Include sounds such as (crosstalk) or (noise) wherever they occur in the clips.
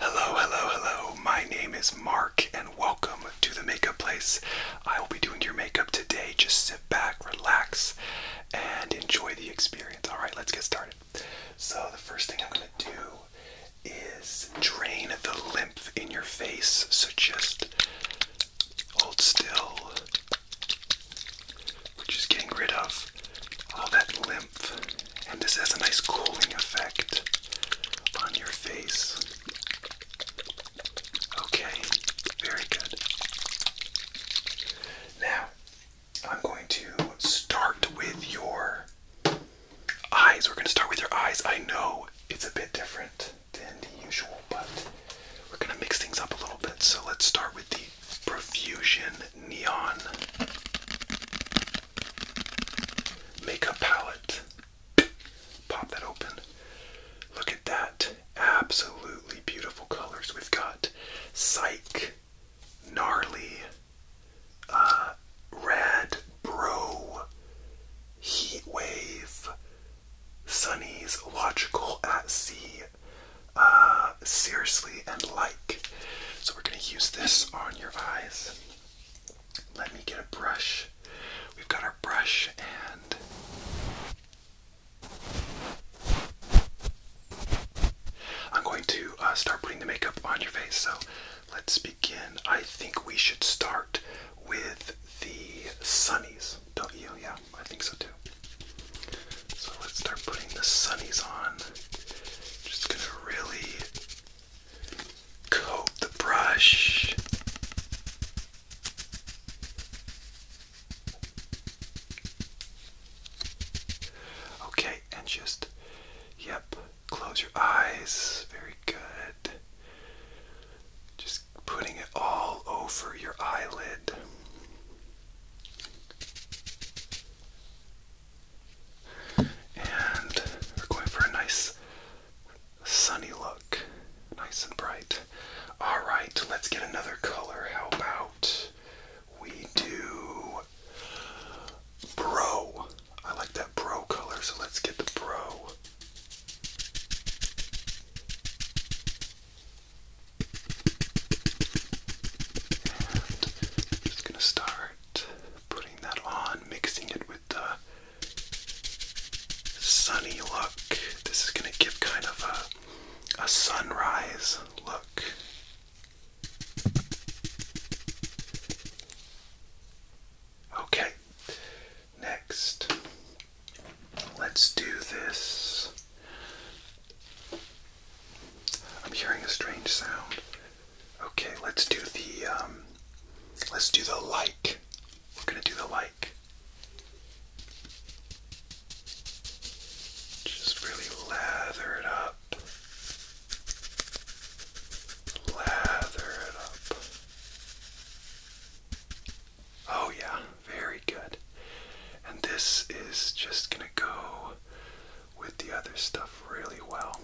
Hello, hello, hello. My name is Mark, and welcome to the Makeup Place. I will be doing your makeup today. Just sit back, relax, and enjoy the experience. All right, let's get started. So, the first thing I'm going to do is drain the lymph in your face. So, just hold still. We're just getting rid of all that lymph and this has a nice cooling effect on your face. Okay, very good. Now, I'm going to start with your eyes. We're going to start with your eyes. I know it's a bit different than usual, but we're going to mix things up a little bit. So let's start with the Profusion Neon. Makeup palette. Pop that open. Look at that. Absolutely beautiful colors. We've got Psych, Gnarly, uh, red bro, heat wave, Sunny's Logical at Sea, uh, Seriously, and Light. So we're going to use this on your eyes. Let me get a brush. We've got our brush and I'm going to uh, start putting the makeup on your face. So let's begin. I think we should start with the sunnies, don't you? Yeah, I think so too. So let's start putting the sunnies on. Just gonna really coat the brush. Okay, and just, yep, close your eyes. Very good. Just putting it all over your eyelid. And we're going for a nice sunny look. Nice and bright. Alright, let's get another color. How about we do bro? I like that bro color, so let's get the bro. just gonna start putting that on, mixing it with the sunny look. This is going to give kind of a, a sunrise look. Okay, next, let's do this. I'm hearing a strange sound. Okay, let's do the um let's do the like. We're gonna do the like. Just really lather it up. Lather it up. Oh yeah, very good. And this is just gonna go with the other stuff really well.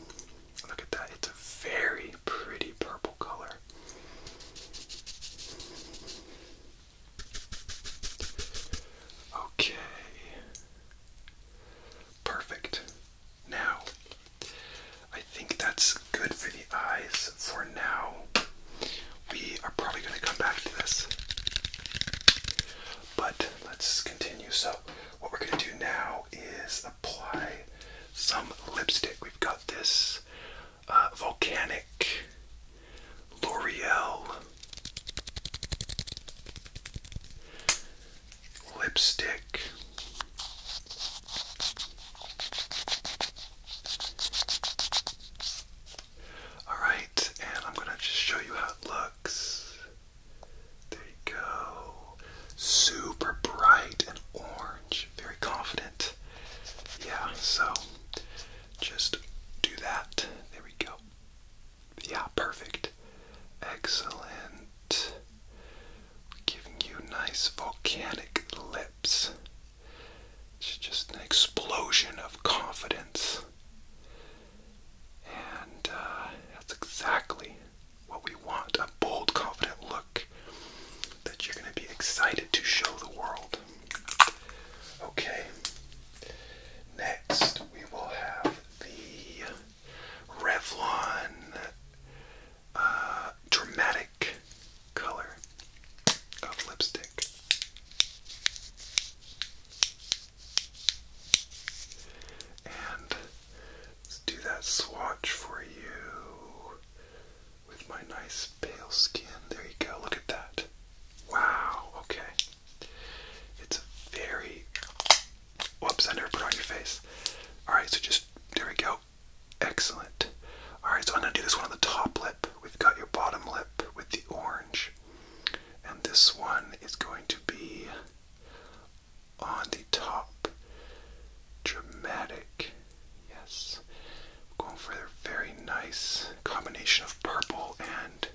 Look at that, it's a very pretty purple color. Okay. Perfect. Now, I think that's good for the eyes for now. We are probably going to come back to this. But let's continue. So, what we're going to do now is apply some lipstick. We've got this uh, Volcanic L'Oreal lipstick. All right, and I'm going to just show you how it looks. There you go. Super bright and orange. Very confident. Yeah, so just do that. There we go. Yeah, perfect. Excellent. Giving you nice volcanic lips. just an explosion of confidence. And uh, that's exactly what we want a bold, confident look that you're going to be excited to show the world. Okay, next we will have the Revlon uh, Dramatic Color Lipstick. And let's do that swatch for you with my nice pale skin. There you go. Look at that. Wow. Okay. It's very. Whoops, I put on your face. Alright, so just. There we go. Excellent. Alright, so I'm going to do this one on the top lip. We've got your bottom lip with the orange. And this one is going to be on the top. Dramatic. Yes. Going for a very nice combination of purple and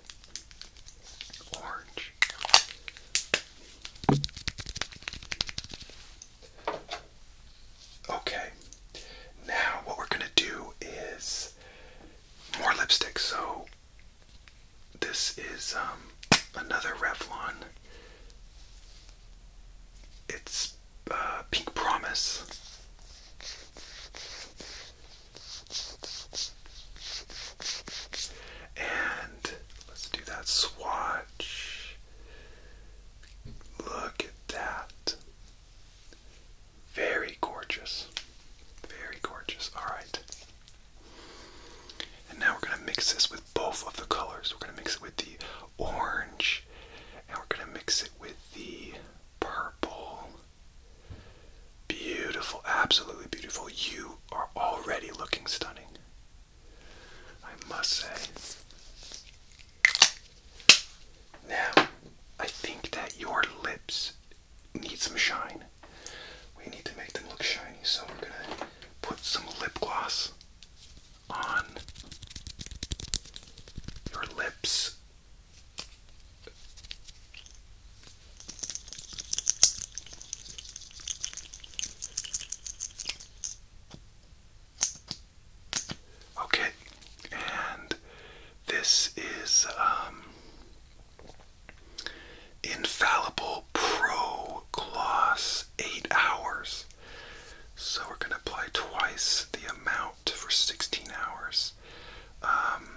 orange. Okay, now what we're gonna do is more lipstick. So this is um, another Revlon. It's uh, Pink Promise. And let's do that swatch. Look at that. Very gorgeous. Very gorgeous. All right. And now we're going to mix this with both of the colors. We're going to mix it with the orange, and we're going to mix it with the purple. Beautiful, absolutely beautiful. You are already looking stunning, I must say. Now, I think that your lips need some shine. We need to make them look shiny, so we're gonna put some lip gloss on your lips. Okay, and this is um Infallible Pro Gloss, 8 hours. So we're going to apply twice the amount for 16 hours. Um,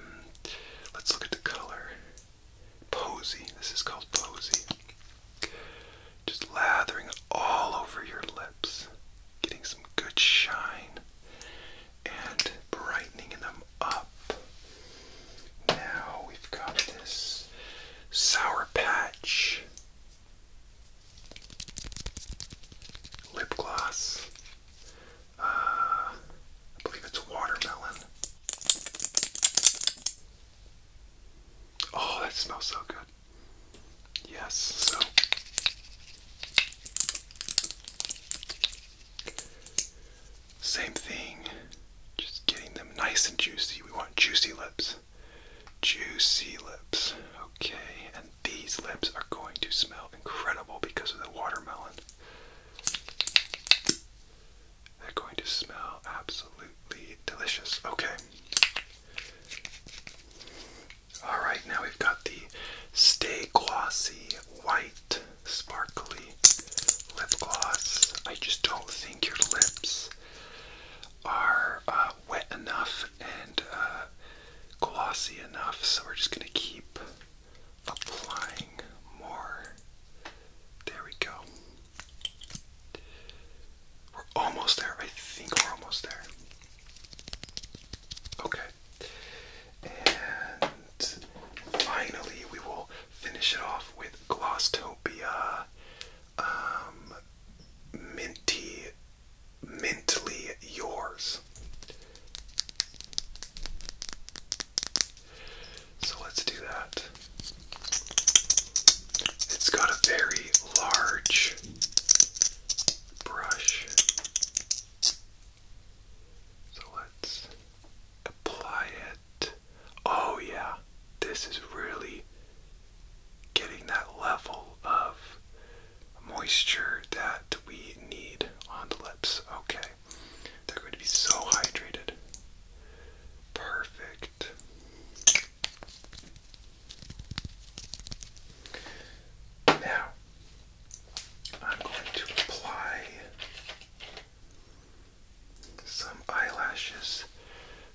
let's look at the color. Posy. This is called Posy. Just lathering all over your lips, getting some good shine and brightening them up. Now we've got this Sour Patch lip gloss. Uh, I believe it's watermelon. Oh, that smells so good. Yes, so same thing, just getting them nice and juicy. We want juicy lips. Juicy lips. Okay, and these lips are going to smell incredible because of the watermelon. They're going to smell absolutely delicious. Okay. Alright, now we've got the Stay Glossy White Sparkly lip gloss. I just don't think your lips are uh, wet enough and uh, glossy enough, so we're just going to keep applying more. There we go. We're almost there. I think we're almost there. Okay. And finally, we will Finish it off with Glosstopia, um, Minty, Mintly Yours. So let's do that. It's got a very large brush. So let's apply it. Oh, yeah, this is really getting that level of moisture that we need on the lips. Okay, they're going to be so hydrated. Perfect. Now, I'm going to apply some eyelashes.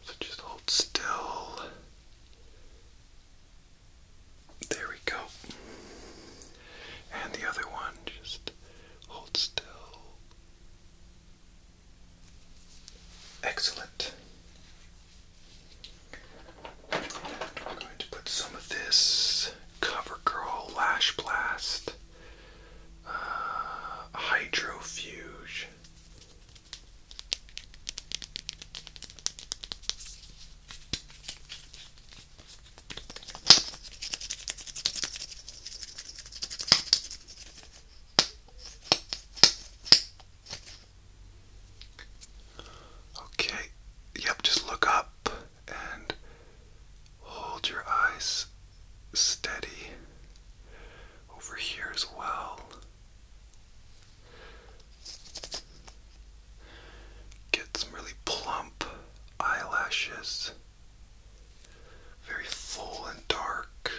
So just hold still. There we go. And the other one, just hold still. Excellent. And we're going to put some of this CoverGirl Lash Blast uh, hydrofuge. Okay, yep, just look up and hold your eyes steady over here as well. Get some really plump eyelashes, very full and dark.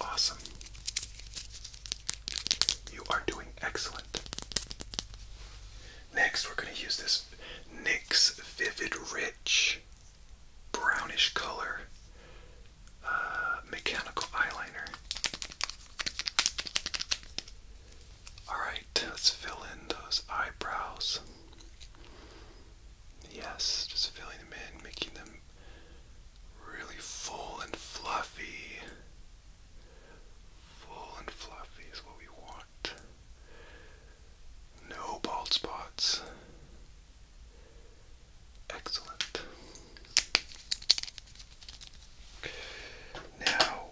Awesome. You are doing excellent. Next, we're going to use this is Vivid Rich brownish color uh, mechanical eyeliner. Alright, let's fill in those eyebrows. Yes, just filling them in, making them really full and fluffy. Full and fluffy is what we want. No bald spots. Excellent. Now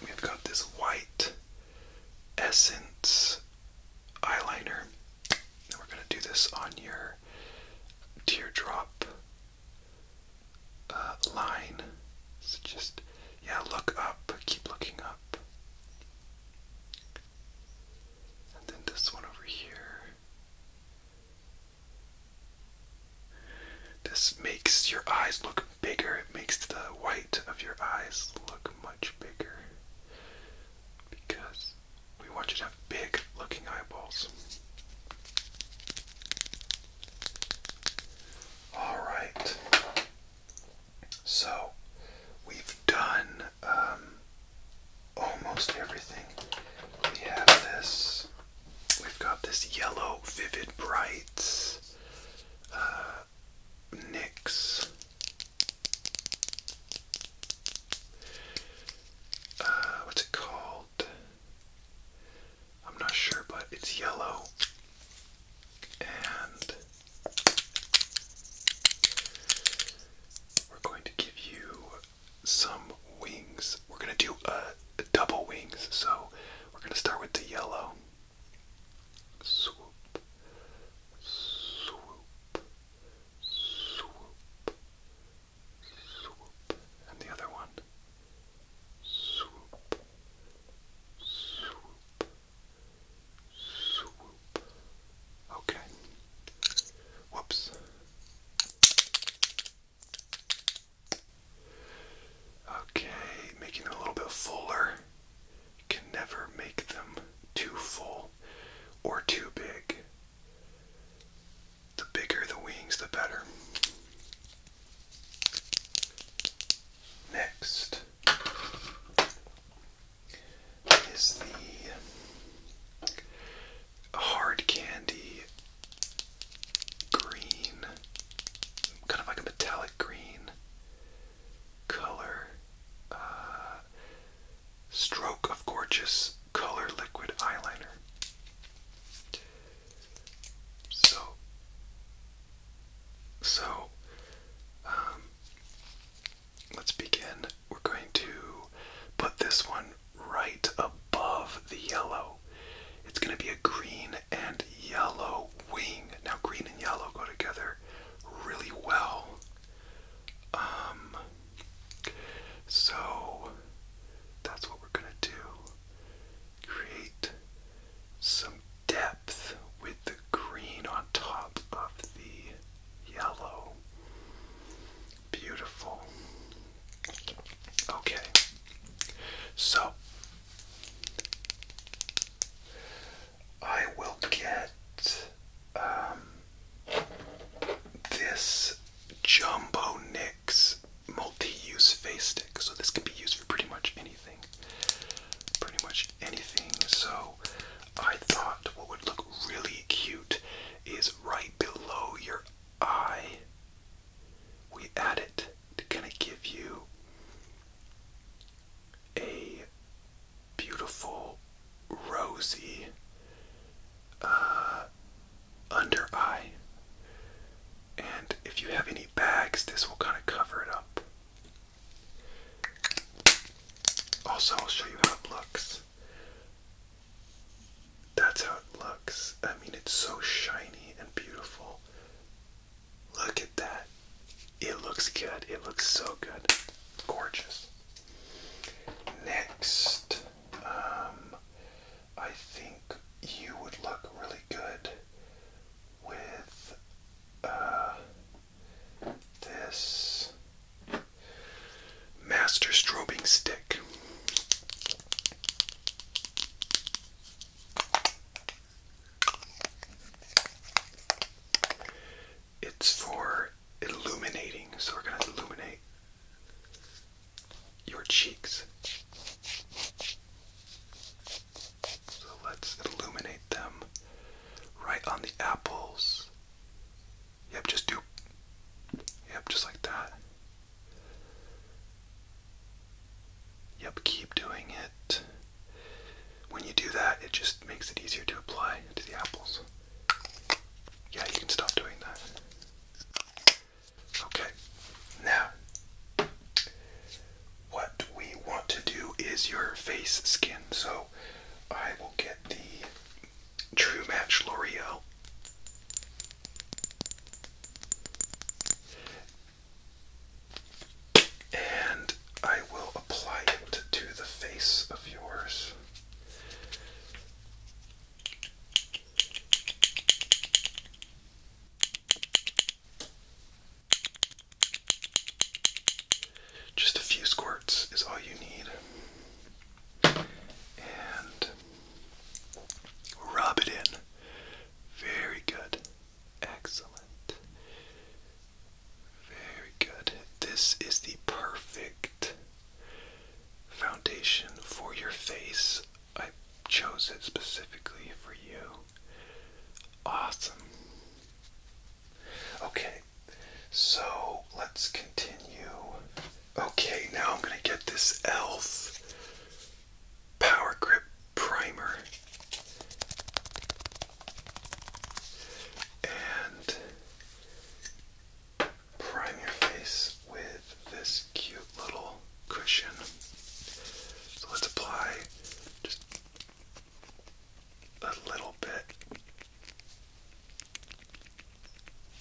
we've got this white essence eyeliner. And we're going to do this on your teardrop uh, line. So just, yeah, look up, keep looking up. And then this one over here. This makes your eyes look bigger. It makes the white of your eyes look much bigger. Because we want you to have big looking eyeballs. All right. So we've done um, almost everything. We have this. We've got this yellow vivid brights. Uh, uh what's it called? I'm not sure, but it's yellow. And we're going to give you some wings. We're going to do uh, double wings. So we're going to start with the yellow. Swoop, swoop, swoop, swoop. And the other one swoop, swoop, swoop. Okay. Whoops. Okay, making them a little bit fuller. You can never make them too full or too big. The bigger the wings, the better. Next is the hard candy green, kind of like a metallic green color. Uh, stroke of Gorgeous Color Liquid Eyeliner. So, so, um, let's begin. We're going to put this one right above the yellow. It's going to be a green and yellow wing. Now, green and yellow go together really well. Um, so that's what we're going to do create some depth with the green on top of the yellow. Beautiful. Okay, so I will get um, this Jumbo Nix multi use face stick. So, this can be used for pretty much anything. Pretty much anything. So I thought what would look really cute is right below your eye. We add it to kind of give you a beautiful rosy uh, under eye. And if you have any bags, this will kind of cover it up. Also, I'll show you how it looks. That's how it looks. I mean, it's so shiny and beautiful. Look at that. It looks good. It looks so good. Gorgeous. Next, um, I think you would look really good with uh, this master strobing stick. It's for illuminating, so we're going to illuminate your cheeks. So let's illuminate them right on the apples. Yep, just do. Yep, just like that. Yep, keep doing it. When you do that, it just makes it easier to apply to the apples. Yeah, you can stop doing that. Okay, now what we want to do is your face skin. So I will get the True Match L'Oreal. And I will apply it to the face of yours. Just a few squirts is all you need. And rub it in. Very good. Excellent. Very good. This is the perfect foundation for your face. I chose it specifically for you. Awesome. Okay, so let's continue. Okay, now I'm going to get this e.l.f. Power Grip Primer. And prime your face with this cute little cushion. So let's apply just a little bit.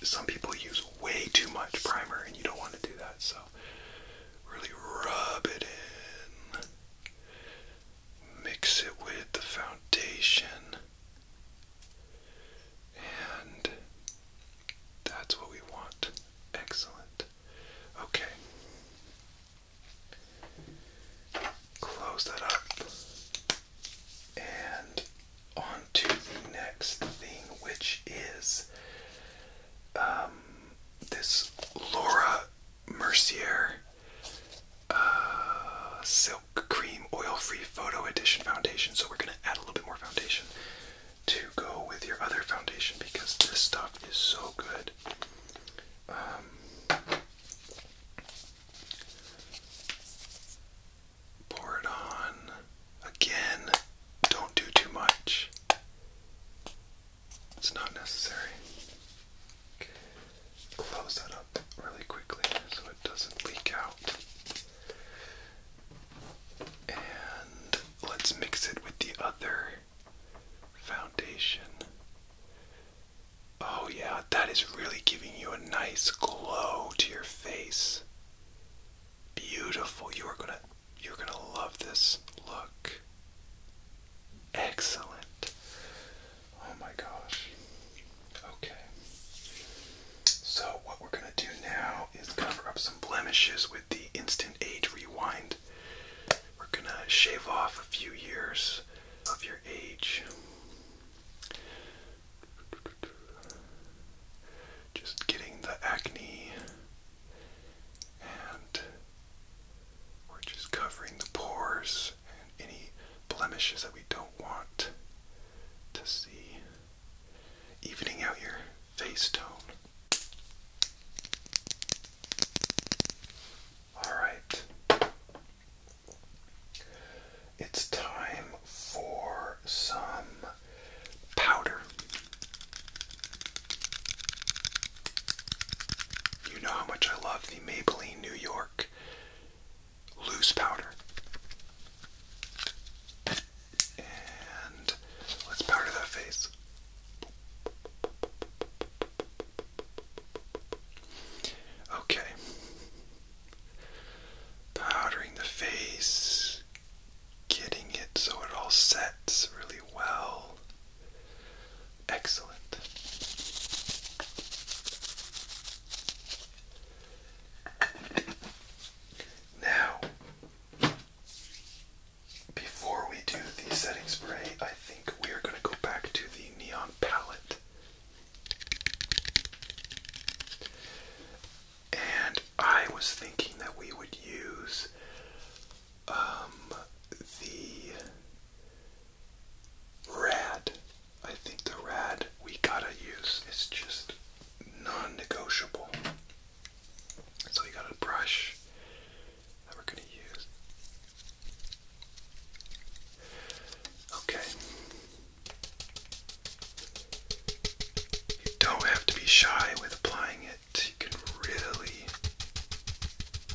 Some people use way too much primer, and you don't want to do that, so really rub it in. Mix it with the foundation, and that's what we want. Excellent. Okay, Close that up. And on to the next thing, which is um, this Laura Mercier uh, Silk Cream Oil Free Photo Edition Foundation. So we're going to add a little bit more foundation to go with your other foundation because this stuff is so good. Um, pour it on. Again, don't do too much. It's not necessary. Close that up really quickly so it doesn't leak out. And let's mix it with the other foundation. Oh, yeah, that is really giving you a nice glow to your face. Beautiful. You are going to you're going to love this look. Excellent. Oh my gosh. Okay. So what we're going to do now is cover up some blemishes with the instant age rewind we're going to shave off a few years of your age. Just getting the acne, and we're just covering the pores and any blemishes that we don't want to see. Evening out your face tone. All right. It's time for some powder. You know how much I love the Maybelline New York loose powder. And let's powder that face. Okay. Powdering the face, getting it so it all sets really well. Excellent. Now, before we do the setting spray, I think we are going to go back to the neon palette. And I was thinking that we would use um, the rad. I think the rad we gotta use. It's just non-negotiable. So we got a brush that we're going to use. Okay. You don't have to be shy with applying it. You can really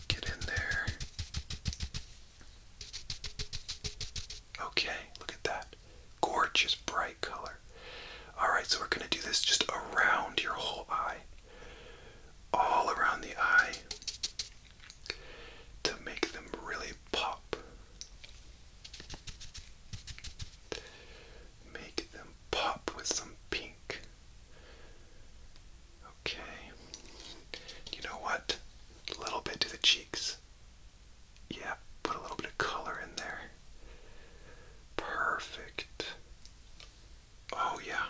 get in there. Okay, look at that. Gorgeous bright color. Alright, so we're going to do this just around your whole eye all around the eye to make them really pop. Make them pop with some pink. Okay. You know what? A little bit to the cheeks. Yeah, put a little bit of color in there. Perfect. Oh, yeah.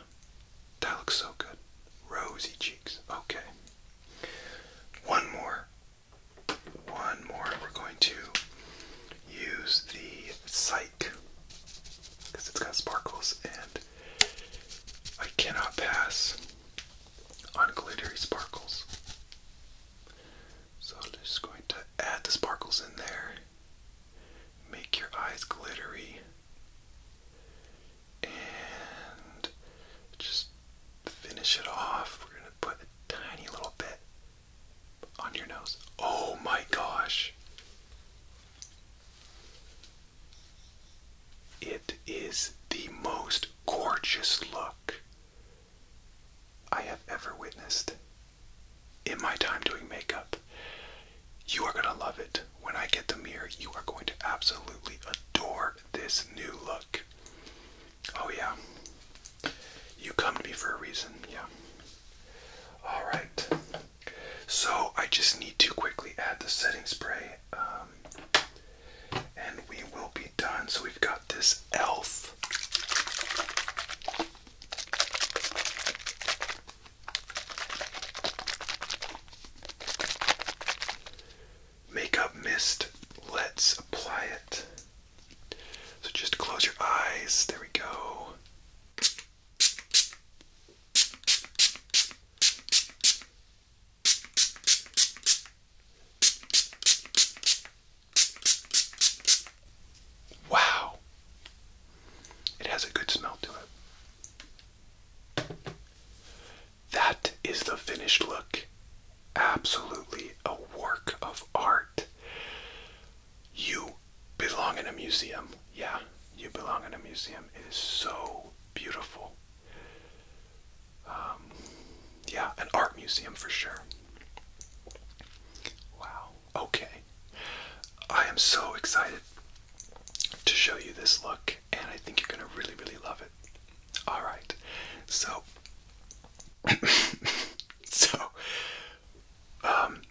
That looks so good. Rosy cheeks. Okay. One more. One more. We're going to use the Psyche because it's got sparkles, and I cannot pass on glittery sparkles. So I'm just going to add the sparkles in there make your eyes glittery, and just finish it off. We're gonna put a tiny little bit on your nose. Oh my gosh! It is the most gorgeous look I have ever witnessed in my time doing makeup. You are going to love it. When I get the mirror, you are going to absolutely adore this new look. Oh, yeah. You come to me for a reason, yeah. All right. So I just need to quickly add the setting spray um, and we will be done. So we've got this e.l.f. Makeup mist, let's apply it. So just close your eyes, there we go. Wow! It has a good smell to it. That is the finished look. Absolutely a work of art. You belong in a museum. Yeah, you belong in a museum. It is so beautiful. Um, yeah, an art museum for sure. Wow. Okay. I am so excited to show you this look, and I think you're gonna really, really love it. All right, so, (laughs) so, um,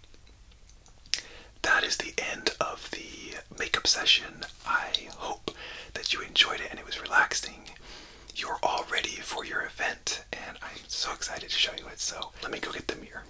that is the end of the makeup session. I hope that you enjoyed it and it was relaxing. You're all ready for your event, and I'm so excited to show you it. So, let me go get the mirror.